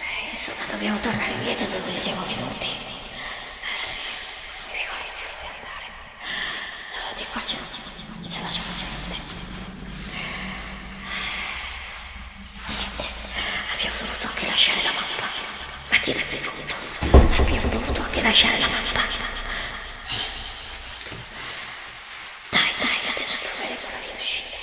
Eh, insomma, dobbiamo tornare indietro da dove siamo venuti. Eh, sì, mi ricordo più dove andare. No, di qua c'è la c'è c'è la gente. Niente, abbiamo dovuto anche lasciare la mappa. Ma ti rendi conto? Abbiamo dovuto anche lasciare la mappa. Dai, dai, adesso troveremo la via d'uscita.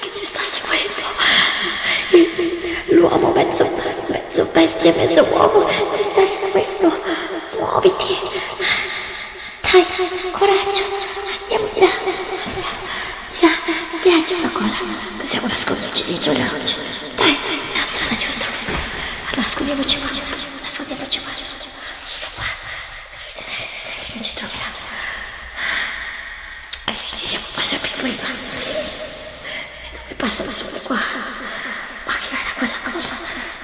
che ci sta seguendo. L'uomo mezzo, mezzo bestia, mezzo uomo ci sta seguendo. Muoviti. Dai, dai, coraggio. Andiamo di là. Di là, di là c'è una cosa. Possiamo nasconderci dietro le rocce. Dai, la strada giusta. Nascondiamoci qua. Nascondiamoci qua. Sono qua. Non ci troveranno. Eh sì, ci siamo passati prima. Dove passa il sole qua? Ma che era quella cosa?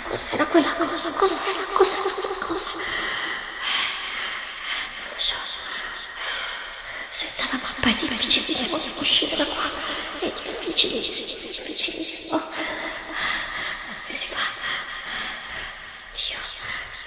Cos'era quella cosa? Cos'era? Cos'era quella cosa? Non lo so. Senza la mappa è difficilissimo uscire da qua. È difficilissimo, difficilissimo. Come si fa? Dio.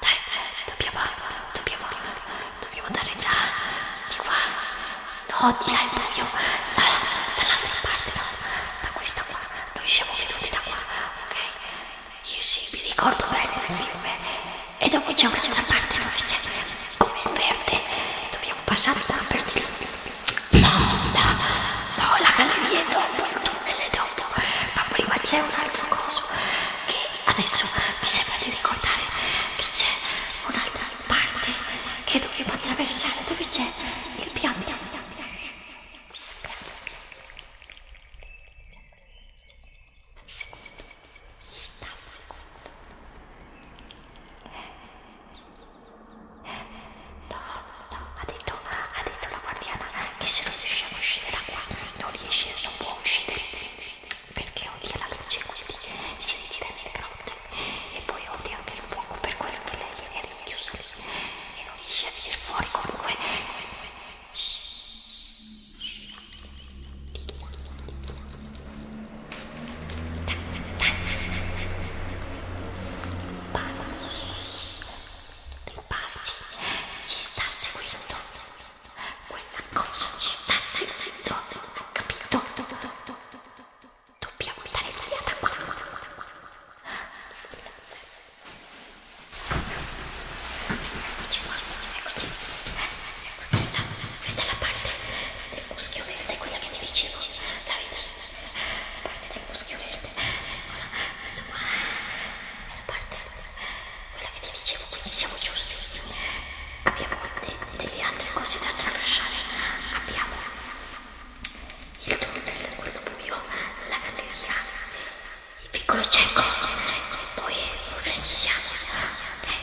Dai, dobbiamo, dobbiamo, dobbiamo andare da, di qua. No, di là è meglio. Da, dall'altra parte, no, da questa qua. Noi siamo venuti da qua, ok? Io sì, mi ricordo bene il fiume. E dopo c'è un'altra parte dove c'è come il verde. Dobbiamo passare da per di là. No, no, no, la galleria è dopo, il tunnel è dopo. Ma prima c'è un altro coso che Adesso mi sembra di ricordare che c'è un'altra parte che dobbiamo attraversare dove c'è il piante. No, no, ha detto, ha detto la guardiana che se non riusciamo a uscire da qua non riesce, non può uscire perché odia la luce quindi si riside nel grotte e poi odia anche il fuoco per quello che lei è rinchiusa lì e non riesce a venire fuori comunque Passi, passi, ci sta seguendo. Quella cosa ci sta seguendo, capito? Dobbiamo dare un'occhiata a quella cosa. Eccoci, eccoci. Questa, questa è la parte del muschio verde, quella che ti dicevo. La vedi? La parte del muschio verde. Eccola, questa qua è la parte quella che ti dicevo, quindi siamo giusti. Abbiamo de delle altre cose da attraversare. Abbiamo il tunnel, quello buio, la galleria, il piccolo cieco. Poi ci siamo. Okay.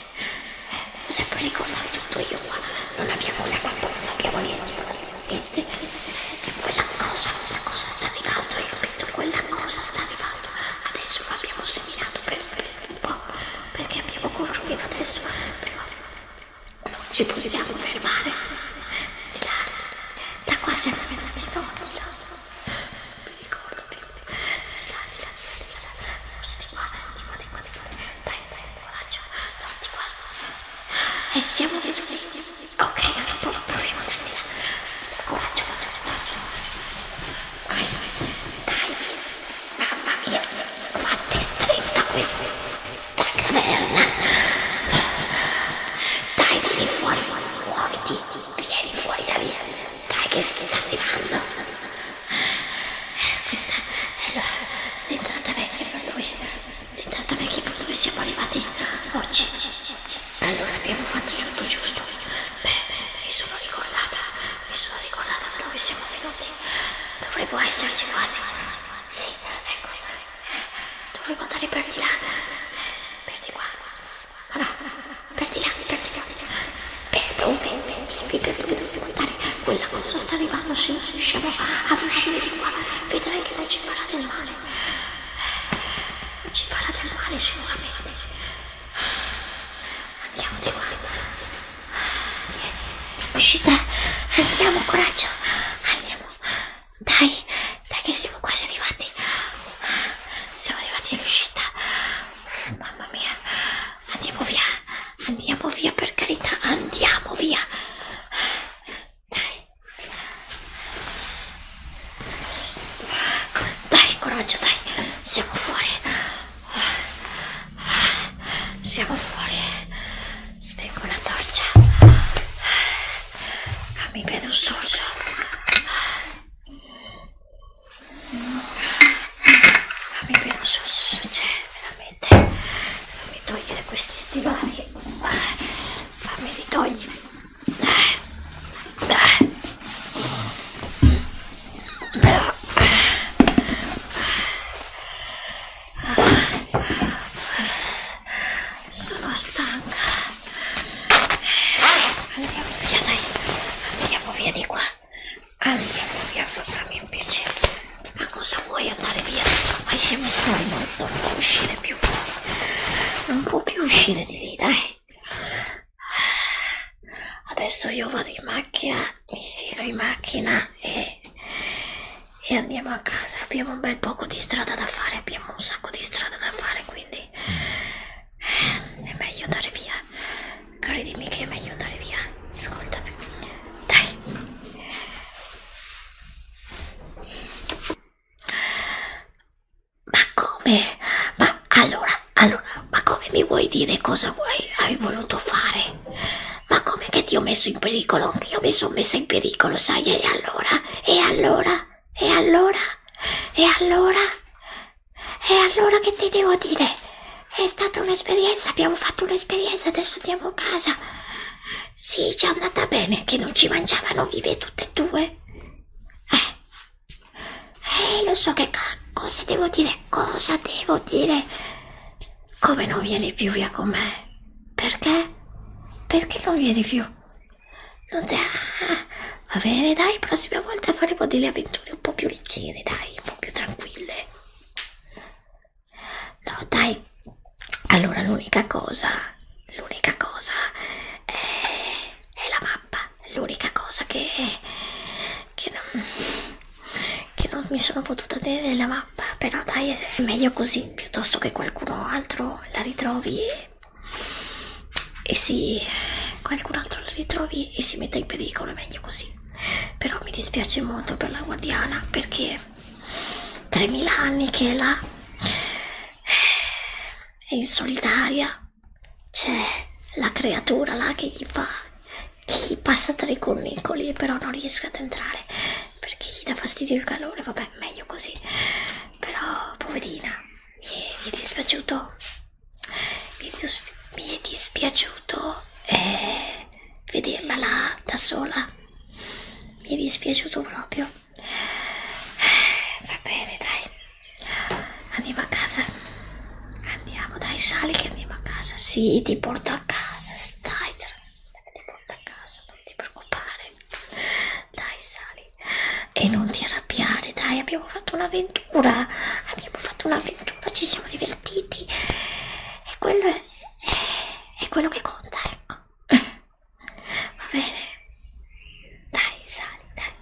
un sacco di cose tutto io qua non abbiamo la mappa non abbiamo niente niente e quella cosa la cosa sta arrivando hai capito quella cosa sta arrivando adesso lo abbiamo seminato per, per un po' perché abbiamo corso fino adesso però non ci possiamo fermare di là da qua siamo venuti no di là mi ricordo più di là di là siete qua, di qua, di qua, di qua. Dai, dai, coraggio. No, di qua. E siamo venuti. Ok, allora proviamo ad andare. Coraggio, coraggio, coraggio. Dai, mamma mia, quanto è stretta questa, questa caverna. Dai, vieni fuori, muoviti, vieni fuori da lì. Dai che si sta arrivando. Questa è l'entrata vecchia per noi. L'entrata vecchia per dove siamo arrivati oggi. Allora abbiamo fatto tutto giusto. Beh, mi sono ricordata, mi sono ricordata da dove siamo venuti. Dovremmo esserci quasi. Sì, ecco. Dovremmo andare per di là. Per di qua. Ma no per di là, per di là, per dove, dimmi per dove devo guardare, quella cosa sta arrivando, se non riusciamo ad uscire di qua, vedrai che non ci farà del male, non ci farà del male sicuramente, andiamo di qua, uscita, andiamo, coraggio, andiamo, dai, dai che siamo quasi arrivati, siamo arrivati all'uscita, mamma mia, andiamo via, andiamo via per carità, andiamo via. Dai, dai coraggio, dai, siamo fuori, siamo fuori. Spengo la torcia, fammi bene un sorso fammi vedo su, su, su c'è veramente fammi togliere questi stivali fammi li togliere sono stanca andiamo via dai andiamo via di qua Andiamo via, fammi un piacere. Ma cosa vuoi andare via? Ormai siamo fuori, non, non può uscire più fuori. Non può più uscire di lì, dai. Adesso io vado in macchina, mi siedo in macchina e, e andiamo a casa. Abbiamo un bel poco di strada da fare, abbiamo un sacco di strada da fare, quindi mm è meglio andare via credimi che è meglio andare via ascoltami dai ma come ma allora allora ma come mi vuoi dire cosa vuoi hai voluto fare ma come che ti ho messo in pericolo io mi sono messa in pericolo sai e allora e allora e allora e allora e allora che ti devo dire? È stata un'esperienza, abbiamo fatto un'esperienza, adesso andiamo a casa. Sì, ci è andata bene che non ci mangiavano vive tutte e due. Eh, eh lo so che cosa devo dire, cosa devo dire. Come non vieni più via con me? Perché? Perché non vieni più? Non c'è... Va bene, dai, prossima volta faremo delle avventure un po' più leggere, dai, un po' più tranquille. No, dai. Allora, l'unica cosa, l'unica cosa è, è la mappa. L'unica cosa che, che, non, che non mi sono potuta tenere la mappa. Però dai, è meglio così, piuttosto che qualcuno altro la ritrovi e e se qualcun altro la ritrovi e si metta in pericolo è meglio così però mi dispiace molto per la guardiana perché 3000 anni che è là è in solitaria c'è la creatura là che gli fa gli passa tra i connicoli però non riesce ad entrare perché gli dà fastidio il calore vabbè meglio così però poverina mi è dispiaciuto mi è, dis mi è dispiaciuto eh, vederla là da sola mi è dispiaciuto proprio eh, va bene dai andiamo a casa andiamo dai sali che andiamo a casa sì ti porto a casa stai ti porto a casa non ti preoccupare dai sali e non ti arrabbiare dai abbiamo fatto un'avventura abbiamo fatto un'avventura ci siamo divertiti e quello è, è, è quello che conta ecco va bene dai sali dai